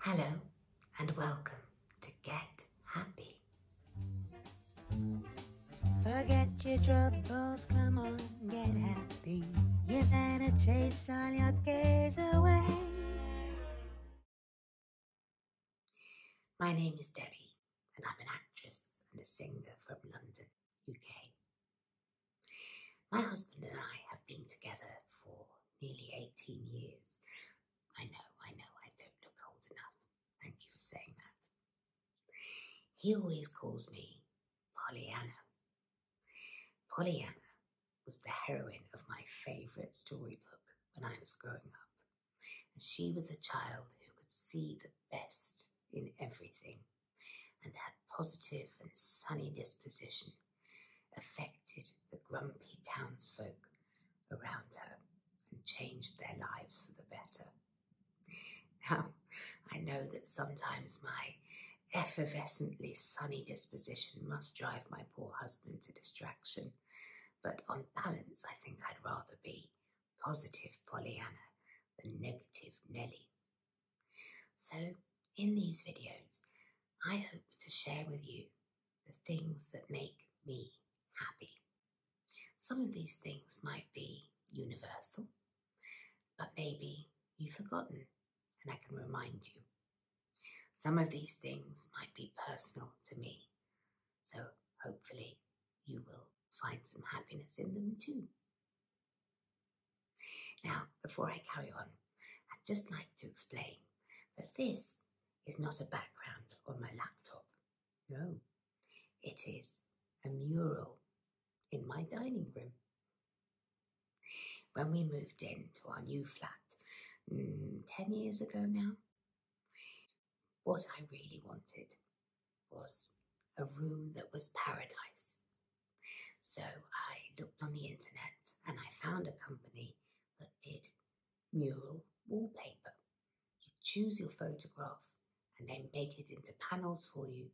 Hello and welcome to Get Happy. Forget your troubles, come on, get happy. You're gonna chase all your cares away. My name is Debbie, and I'm an actress and a singer from London, UK. My husband and I have been together for nearly 18 years. I know, I know, I don't look old enough. Thank you for saying that. He always calls me Pollyanna. Pollyanna was the heroine of my favorite storybook when I was growing up, and she was a child who could see the best in everything and that positive and sunny disposition affected the grumpy townsfolk around her and changed their lives for the better. Now, I know that sometimes my effervescently sunny disposition must drive my poor husband to distraction, but on balance, I think I'd rather be positive Pollyanna than negative Nellie. So, in these videos, I hope to share with you the things that make me happy. Some of these things might be universal, but maybe you've forgotten and I can remind you. Some of these things might be personal to me, so hopefully you will find some happiness in them too. Now, before I carry on, I'd just like to explain that this is not a background on my laptop. No, it is a mural in my dining room. When we moved into our new flat mm, 10 years ago now, what I really wanted was a room that was paradise. So I looked on the internet and I found a company that did mural wallpaper. You choose your photograph and they make it into panels for you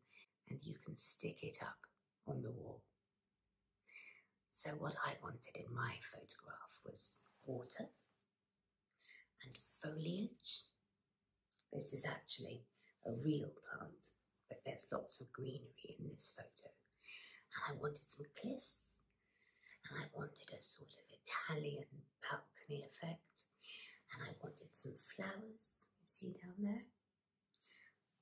and you can stick it up on the wall. So, what I wanted in my photograph was water and foliage this is actually a real plant, but there's lots of greenery in this photo. I wanted some cliffs, and I wanted a sort of Italian balcony effect, and I wanted some flowers, you see down there?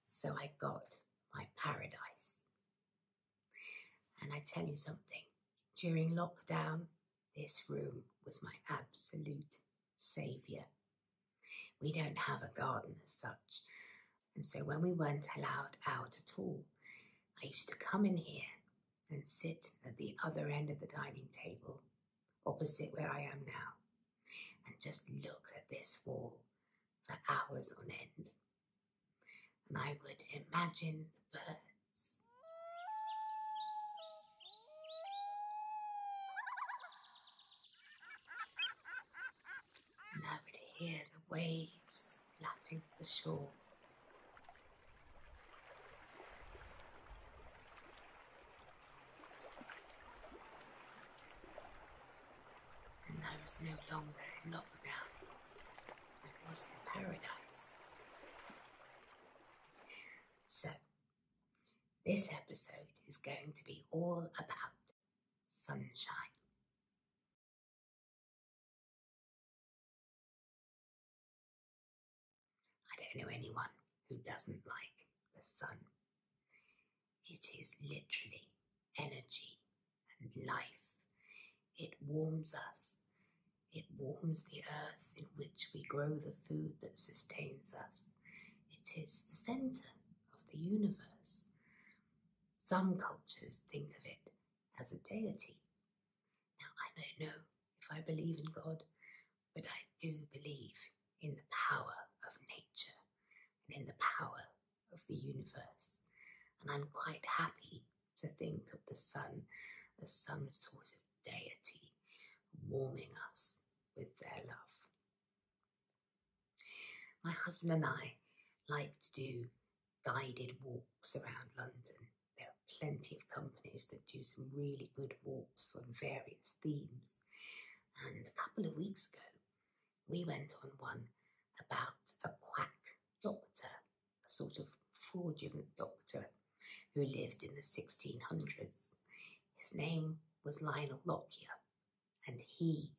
So I got my paradise. And I tell you something, during lockdown, this room was my absolute saviour. We don't have a garden as such, and so when we weren't allowed out at all, I used to come in here and sit at the other end of the dining table, opposite where I am now, and just look at this wall for hours on end. And I would imagine the birds. And I would hear the waves laughing at the shore. And I was no longer in lockdown. I was in paradise. So this episode is going to be all about sunshine. I don't know anyone who doesn't like the sun. It is literally energy and life. It warms us. It warms the earth in which we grow the food that sustains us. It is the center of the universe. Some cultures think of it as a deity. Now, I don't know if I believe in God, but I do believe in the power of nature and in the power of the universe. And I'm quite happy to think of the sun as some sort of deity warming us with their love. My husband and I like to do guided walks around London. There are plenty of companies that do some really good walks on various themes. And a couple of weeks ago, we went on one about a quack doctor, a sort of fraudulent doctor who lived in the 1600s. His name was Lionel Lockyer, and he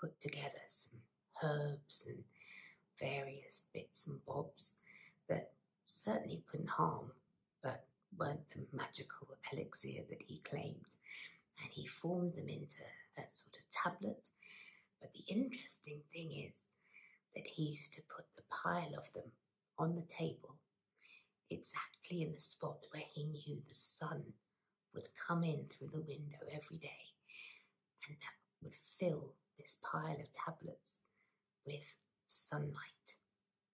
put together some herbs and various bits and bobs that certainly couldn't harm, but weren't the magical elixir that he claimed. And he formed them into that sort of tablet. But the interesting thing is that he used to put the pile of them on the table exactly in the spot where he knew the sun would come in through the window every day and would fill this pile of tablets with sunlight.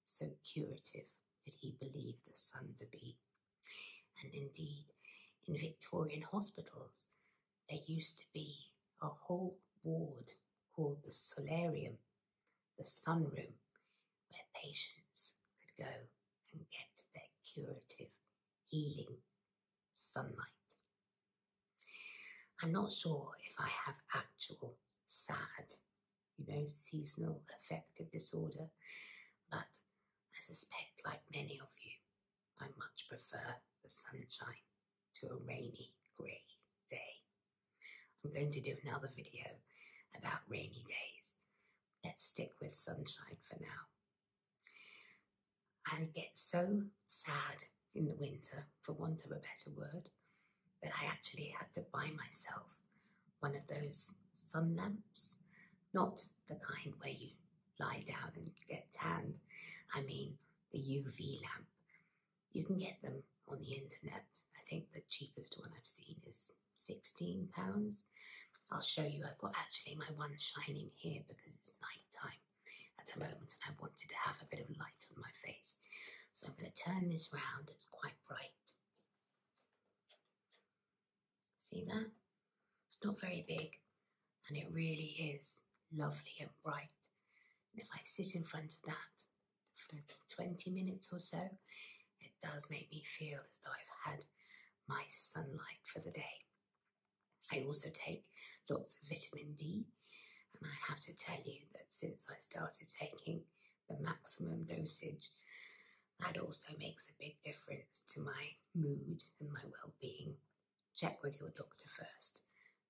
So curative did he believe the sun to be. And indeed, in Victorian hospitals, there used to be a whole ward called the solarium, the sunroom where patients could go and get their curative, healing sunlight. I'm not sure if I have actual sad, you know, seasonal affective disorder, but I suspect, like many of you, I much prefer the sunshine to a rainy grey day I'm going to do another video about rainy days. Let's stick with sunshine for now. I get so sad in the winter, for want of a better word, that I actually had to buy myself one of those sun lamps, not the kind where you lie down and get tanned. I mean the UV lamp you can get them on the internet. I think the cheapest one I've seen is £16. I'll show you. I've got actually my one shining here because it's night time at the moment and I wanted to have a bit of light on my face. So I'm going to turn this round. It's quite bright. See that? It's not very big and it really is lovely and bright. And if I sit in front of that, for 20 minutes or so, it does make me feel as though I've had my sunlight for the day. I also take lots of vitamin D, and I have to tell you that since I started taking the maximum dosage, that also makes a big difference to my mood and my well being. Check with your doctor first,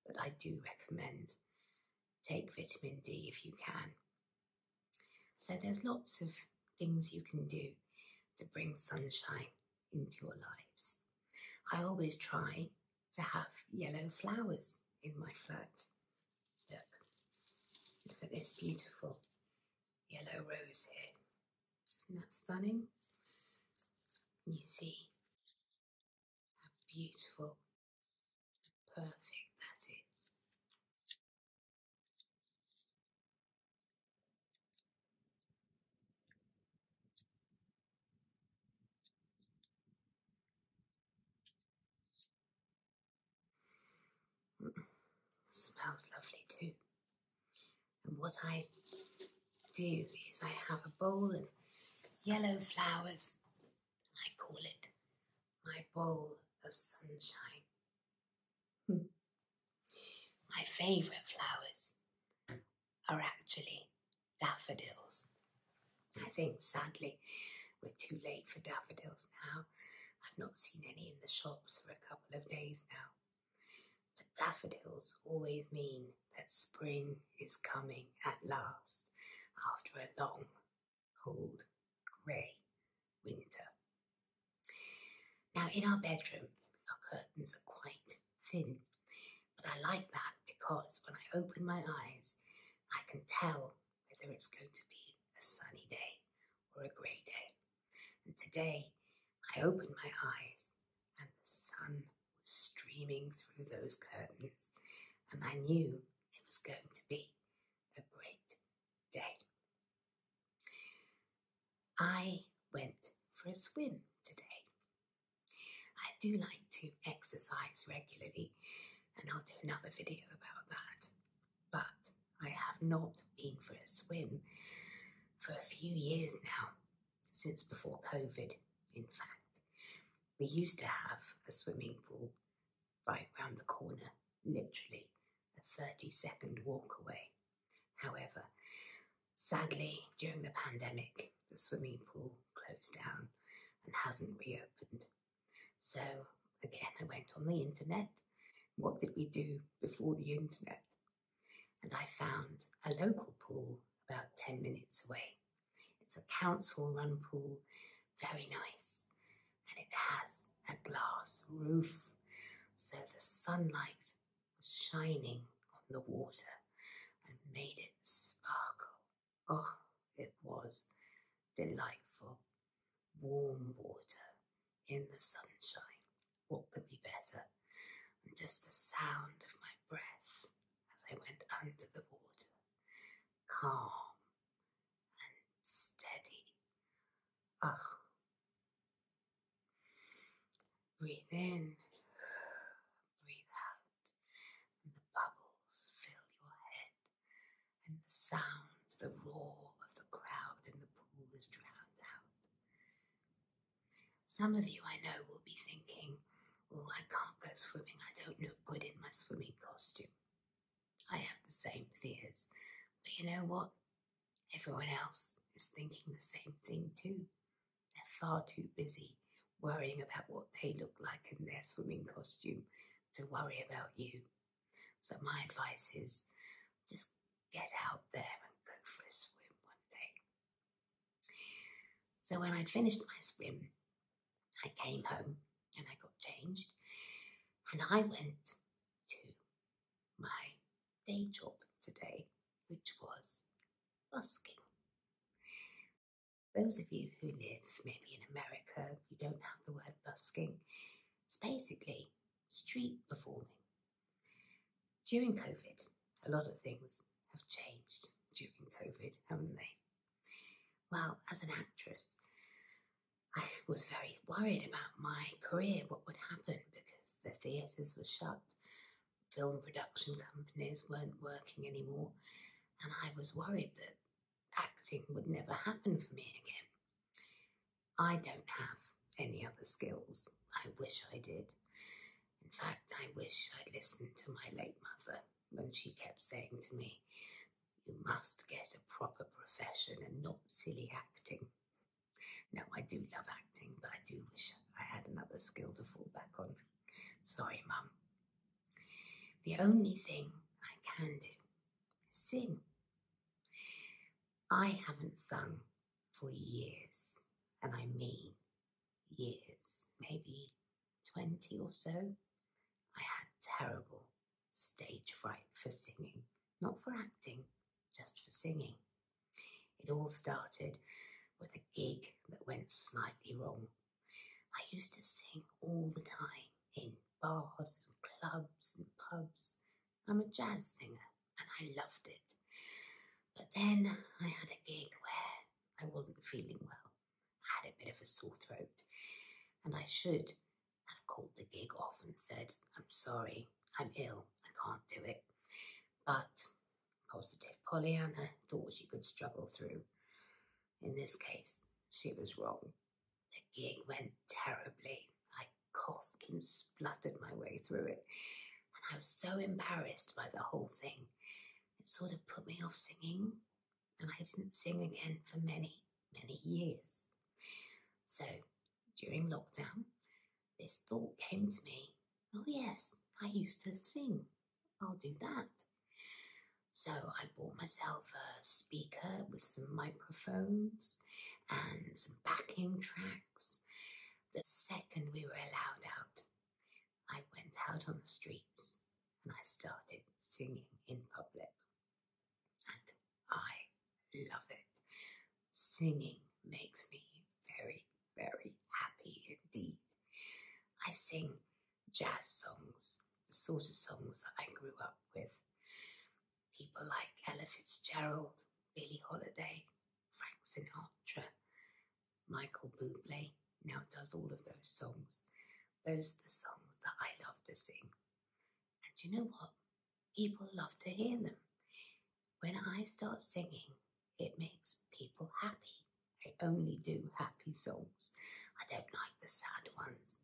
but I do recommend take vitamin D if you can. So there's lots of things you can do to bring sunshine into your lives. I always try to have yellow flowers in my flat. Look, look at this beautiful yellow rose here. Isn't that stunning? You see how beautiful Perfect, that is. Smells lovely too. And what I do is I have a bowl of yellow flowers I call it my bowl of sunshine. Hmm. my favourite flowers are actually daffodils. I think sadly we're too late for daffodils now. I've not seen any in the shops for a couple of days now. But daffodils always mean that spring is coming at last after a long, cold, grey winter. Now, in our bedroom, our curtains are quite thin, but I like that because when I open my eyes, I can tell whether it's going to be a sunny day or a grey day. And today, I opened my eyes and the sun was streaming through those curtains, and I knew it was going to be a great day. I went for a swim today. I do like to exercise regularly, and I'll do another video about that. But I have not been for a swim for a few years now, since before COVID, in fact. We used to have a swimming pool right round the corner, literally a 30 second walk away. However, sadly, during the pandemic, the swimming pool closed down and hasn't reopened. So, again, I went on the internet. What did we do before the internet? And I found a local pool about 10 minutes away. It's a council run pool, very nice, and it has a glass roof, so the sunlight was shining on the water and made it sparkle. Oh, it was delightful. Warm water in the sunshine. What could be better? And just the sound of my breath as I went under the water calm and steady. Oh. Breathe in, breathe out, and the bubbles fill your head, and the sound, the roar of the crowd in the pool is drowned out. Some of you I know will be thinking, I can't go swimming. I don't look good in my swimming costume. I have the same fears. But you know what? Everyone else is thinking the same thing too. They're far too busy worrying about what they look like in their swimming costume to worry about you. So my advice is just get out there and go for a swim one day. So when I'd finished my swim, I came home and I got changed and I went to my day job today, which was busking. Those of you who live maybe in America, you don't have the word busking. It's basically street performing. During COVID, a lot of things have changed during COVID, haven't they? Well, as an actress, I was very worried about my career, what would happen because the theatres were shut, film production companies weren't working anymore, and I was worried that acting would never happen for me again. I don't have any other skills. I wish I did. In fact, I wish I'd listened to my late mother and she kept saying to me, You must get a proper profession and not silly acting. Now, I do love acting, but I do wish I had another skill to fall back on. Sorry, Mum. The only thing I can do sing. I haven't sung for years, and I mean years, maybe 20 or so, I had terrible stage fright for singing, not for acting, just for singing. It all started with a gig that went slightly wrong. I used to sing all the time in bars and clubs and pubs. I'm a jazz singer and I loved it. But then I had a gig where I wasn't feeling well I had a bit of a sore throat, and I should have called the gig off and said, I'm sorry, I'm ill, I can't do it. But positive Pollyanna thought she could struggle through. In this case, she was wrong. The gig went terribly. I coughed and spluttered my way through it, and I was so embarrassed by the whole thing. It sort of put me off singing and I didn't sing again for many, many years. So during lockdown, this thought came to me oh, yes, I used to sing. I'll do that. So I bought myself a speaker with some microphones and some backing tracks the second we were allowed out. I went out on the streets and I started singing in public. And I love it. Singing makes me very, very happy indeed. I sing jazz songs, the sort of songs that I grew up with. People like Ella Fitzgerald, Billie Holiday, Frank Sinatra, Michael Bublé now does all of those songs. Those are the songs that I love to sing. And you know what? People love to hear them. When I start singing, it makes people happy. I only do happy songs. I don't like the sad ones.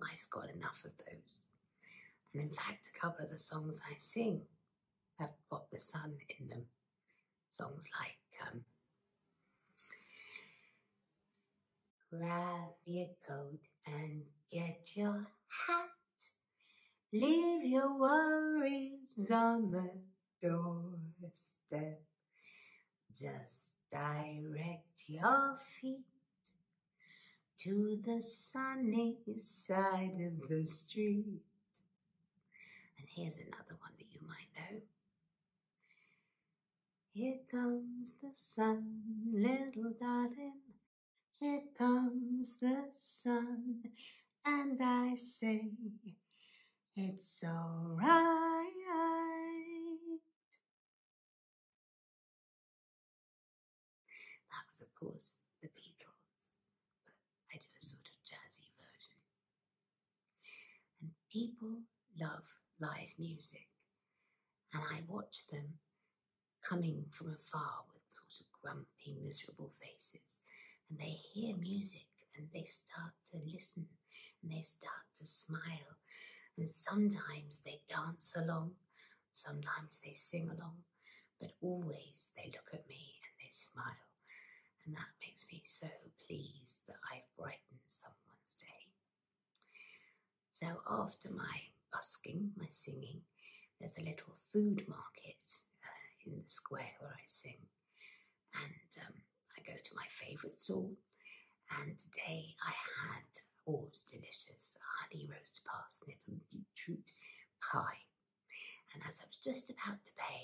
Life's got enough of those. And in fact, a couple of the songs I sing have got the sun in them songs like um, Grab your coat and get your hat. Leave your worries on the doorstep. Just direct your feet to the sunny side of the street. And here's another one that you might know. Here comes the sun, little darling. Here comes the sun. And I say, it's all right. That was, of course, the Beatles, I do a sort of jazzy version. And people love live music. And I watch them coming from afar with sort of grumpy, miserable faces. And they hear music and they start to listen and they start to smile. And sometimes they dance along, sometimes they sing along, but always they look at me and they smile and that makes me so pleased that I've brightened someone's day. So, after my busking, my singing, there's a little food market uh, in the square where I sing, and um, I go to my favourite stall. And today I had oh, it was delicious honey roast parsnip and beetroot pie. And as I was just about to pay,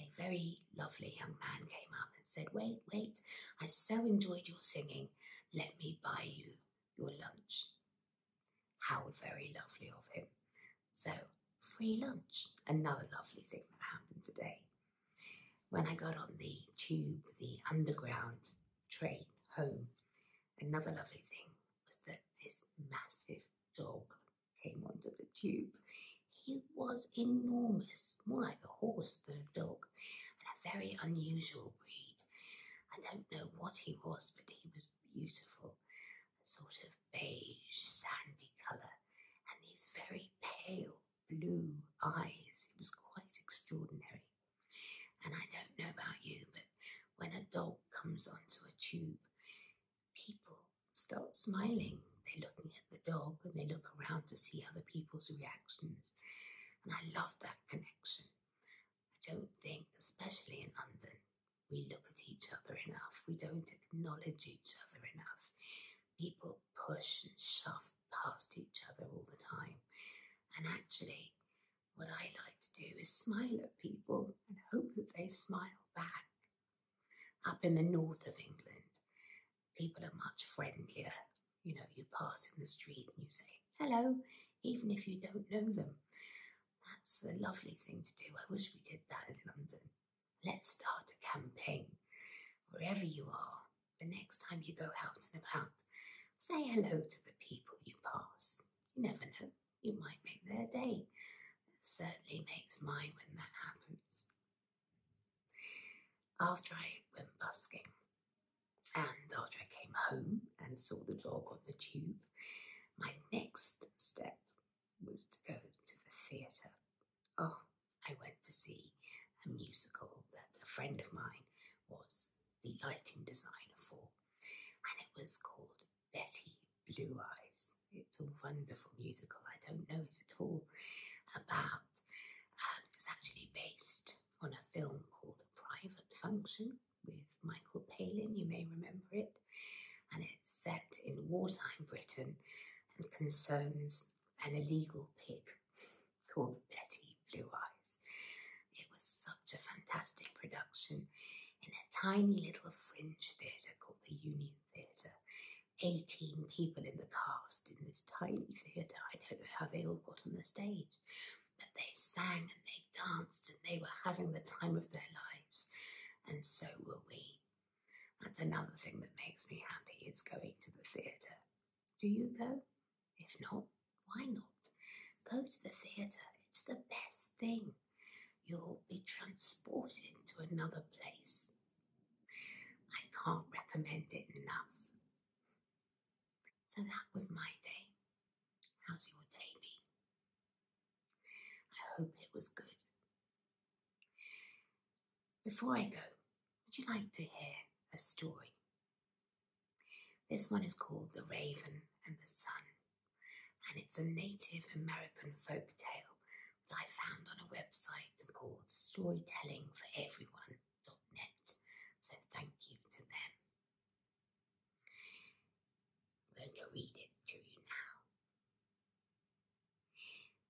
a very lovely young man came up and said, Wait, wait, I so enjoyed your singing. Let me buy you your lunch. How very lovely of him. So, free lunch. Another lovely thing that happened today. When I got on the tube, the underground train home, another lovely thing was that this massive dog came onto the tube. He was enormous, more like a horse than a dog, and a very unusual breed. I don't know what he was, but he was beautiful, a sort of beige, sandy colour, and these very pale blue eyes. It was quite extraordinary. And I don't know about you, but when a dog comes onto a tube, people start smiling. They're looking at the dog and they look around to see other people's reactions. And I love that connection. I don't think, especially in London, we look at each other enough. We don't acknowledge each other enough. People push and shove past each other all the time. And actually, what I like to do is smile at people and hope that they smile back. Up in the north of England, people are much friendlier. You know, you pass in the street and you say hello, even if you don't know them. That's a lovely thing to do. I wish we did that in London. Let's start a campaign wherever you are. The next time you go out and about, say hello to the people you pass. You never know, you might make their day. It certainly makes mine when that happens. After I went busking and after I came home and saw the dog on the tube, my next step was to go to the theatre. Oh, I went to see a musical that a friend of mine was the lighting designer for, and it was called Betty Blue Eyes. It's a wonderful musical. I don't know it at all about. Um, it's actually based on a film called A Private Function with Michael Palin. You may remember it. And it's set in wartime Britain and concerns an illegal pig called Betty Blue Eyes. It was such a fantastic production in a tiny little fringe theatre called the Union theatre. 18 people in the cast in this tiny theatre. I don't know how they all got on the stage, but they sang and they danced and they were having the time of their lives, and so were we. That's another thing that makes me happy is going to the theatre. Do you go? If not, why not? Go to the theatre, it's the best thing. You'll be transported to another place. I can't recommend it enough. So that was my day. How's your day been? I hope it was good. Before I go, would you like to hear a story? This one is called The Raven and the Sun, and it's a Native American folk tale that I found on a website called net, So thank you to them. I'm going to read it to you now.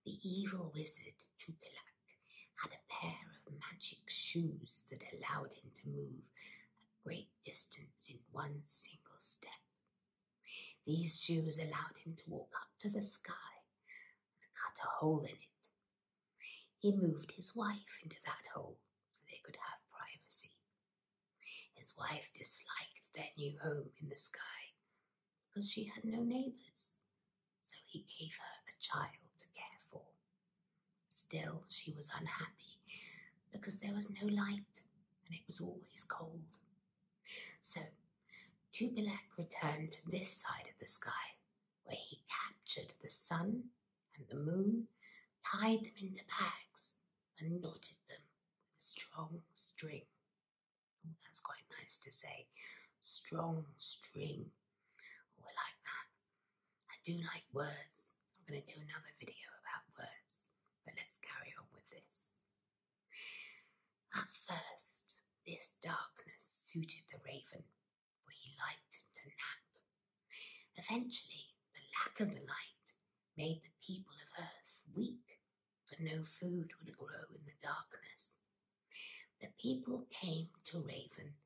The evil wizard Tupilak had a pair of magic shoes that allowed him to move a great distance in one single step these shoes allowed him to walk up to the sky and cut a hole in it. He moved his wife into that hole so they could have privacy. His wife disliked their new home in the sky because she had no neighbors, so he gave her a child to care for. Still, she was unhappy because there was no light and it was always cold so Tubalac returned to this side of the sky, where he captured the sun and the moon, tied them into bags, and knotted them with a strong string. Oh, that's quite nice to say. Strong string. Oh, like that. I do like words. I'm going to do another video about words, but let's carry on with this. At first, this darkness suited the raven, for he liked to nap. Eventually, the lack of the light made the people of Earth weak, for no food would grow in the darkness. The people came to Raven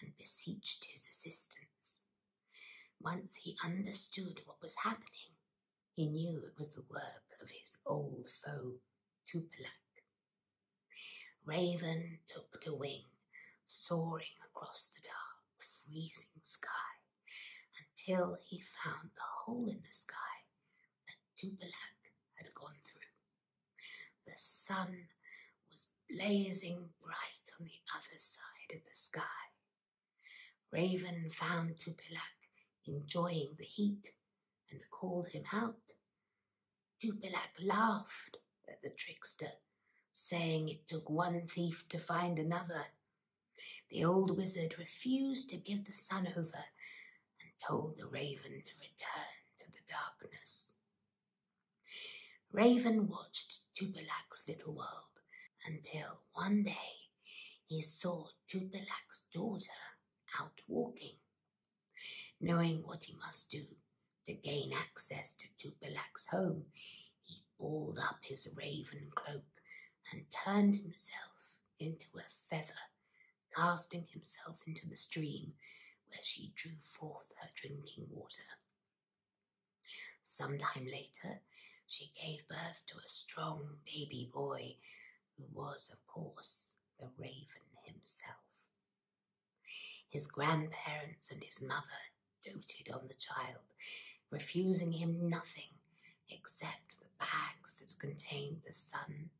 and beseeched his assistance. Once he understood what was happening, he knew it was the work of his old foe, Tupelak. Raven took to wing, soaring across the dark, freezing sky, until he found the hole in the sky that Tupelak had gone through. The sun was blazing bright on the other side of the sky. Raven found Tupilak enjoying the heat and called him out. Tupilak laughed at the trickster, saying it took one thief to find another. The old wizard refused to give the sun over and told the raven to return to the darkness. Raven watched Tupilak's little world until one day he saw Tupelak's daughter out walking. Knowing what he must do to gain access to Tupelak's home, he balled up his raven cloak and turned himself into a feather, casting himself into the stream where she drew forth her drinking water. Some time later, she gave birth to a strong baby boy who was, of course, the raven himself. His grandparents and his mother doted on the child, refusing him nothing except the bags that contained the sun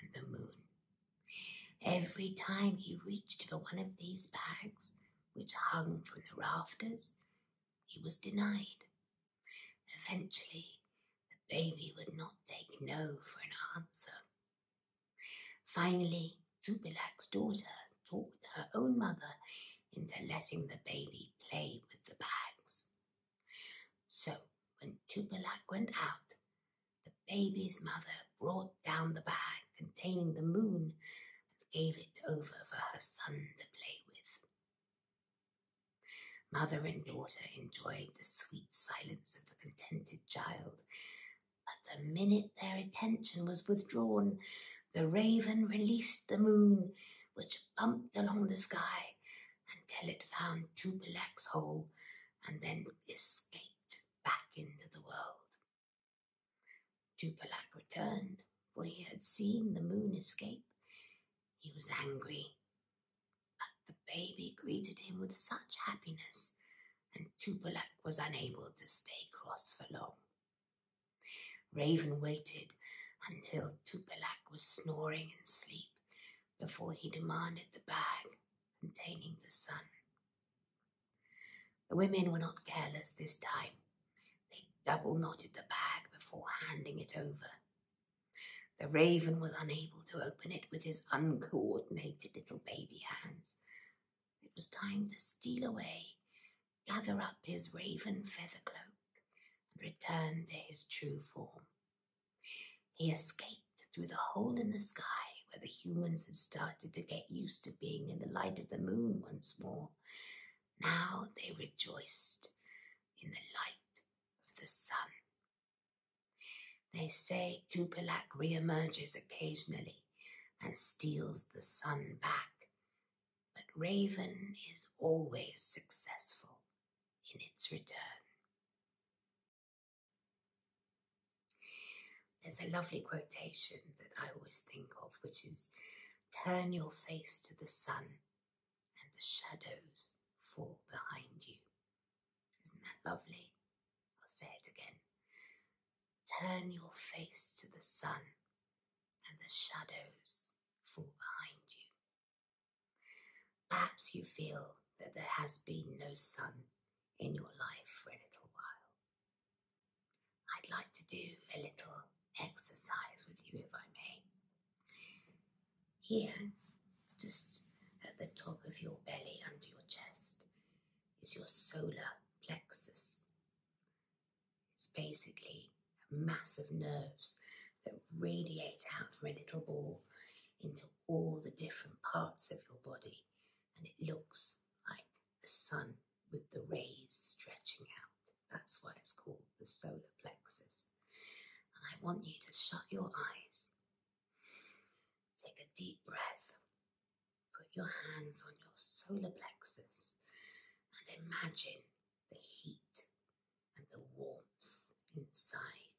and the moon. Every time he reached for one of these bags, which hung from the rafters, he was denied Eventually, the baby would not take no for an answer. Finally, Tupilak's daughter talked her own mother into letting the baby play with the bags. So, when Tupilak went out, the baby's mother brought down the bag containing the moon and gave it over for her son to play with. Mother and daughter enjoyed the sweet silence of the contented child. But the minute their attention was withdrawn, the raven released the moon, which bumped along the sky until it found Tupolak's hole and then escaped back into the world. Tupolak returned, for he had seen the moon escape he was angry, but the baby greeted him with such happiness, and Tupelak was unable to stay cross for long. Raven waited until Tupelak was snoring in sleep before he demanded the bag containing the sun. The women were not careless this time. They double knotted the bag before handing it over the raven was unable to open it with his uncoordinated little baby hands. It was time to steal away, gather up his raven feather cloak, and return to his true form. He escaped through the hole in the sky where the humans had started to get used to being in the light of the moon once more. Now they rejoiced in the light of the sun. They say Tupilac reemerges occasionally and steals the sun back, but Raven is always successful in its return. There's a lovely quotation that I always think of, which is Turn your face to the sun and the shadows fall behind you. Isn't that lovely? I'll say it again. Turn your face to the sun and the shadows fall behind you. Perhaps you feel that there has been no sun in your life for a little while. I'd like to do a little exercise with you, if I may. Here, just at the top of your belly, under your chest, is your solar plexus. It's basically a mass of nerves that radiate out from a little ball into all the different parts of your body, and it looks like the sun with the rays stretching out. That's why it's called the solar plexus. And I want you to shut your eyes. Take a deep breath. Put your hands on your solar plexus and imagine the heat and the warmth inside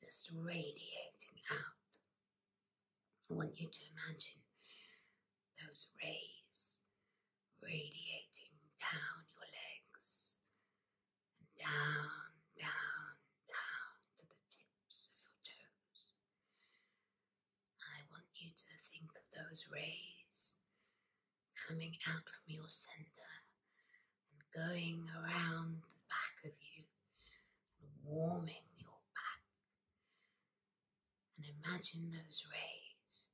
just radiating out. I want you to imagine those rays radiating down your legs and down, down, down to the tips of your toes. I want you to think of those rays coming out from your center and going around the back of you and warming your back. And imagine those rays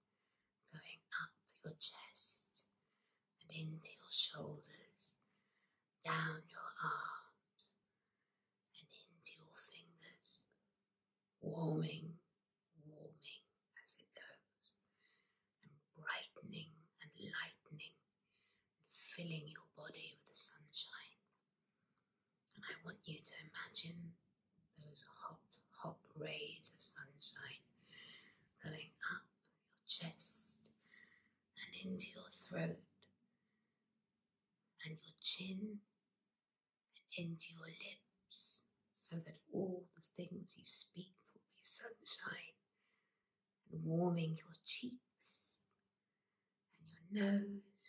going up your chest and into your shoulders, down your arms and into your fingers, warming, warming as it goes, and brightening and lightening filling your body with the sunshine. I want you to imagine those hot, hot rays of sunshine going up your chest and into your throat and your chin and into your lips so that all the things you speak will be sunshine and warming your cheeks and your nose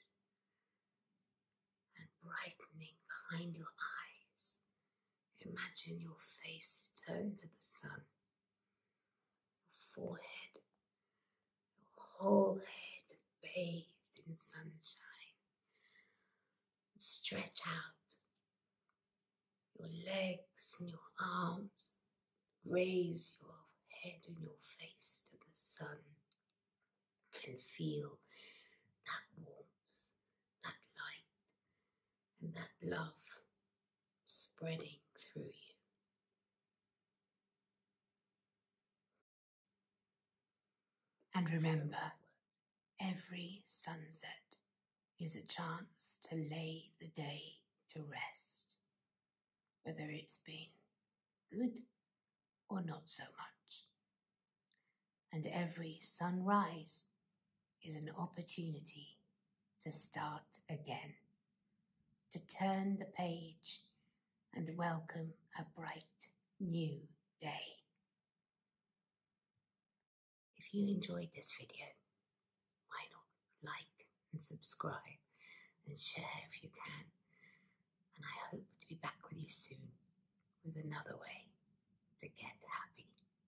and brightening behind your eyes Imagine your face turned to the sun, your forehead, your whole head bathed in sunshine. Stretch out your legs and your arms, raise your head and your face to the sun, and feel that warmth that light and that love spreading through you. And remember, every sunset is a chance to lay the day to rest, whether it's been good or not so much and every sunrise is an opportunity to start again, to turn the page and welcome a bright new day. If you enjoyed this video, why not like and subscribe and share if you can. And I hope to be back with you soon with another way to get happy.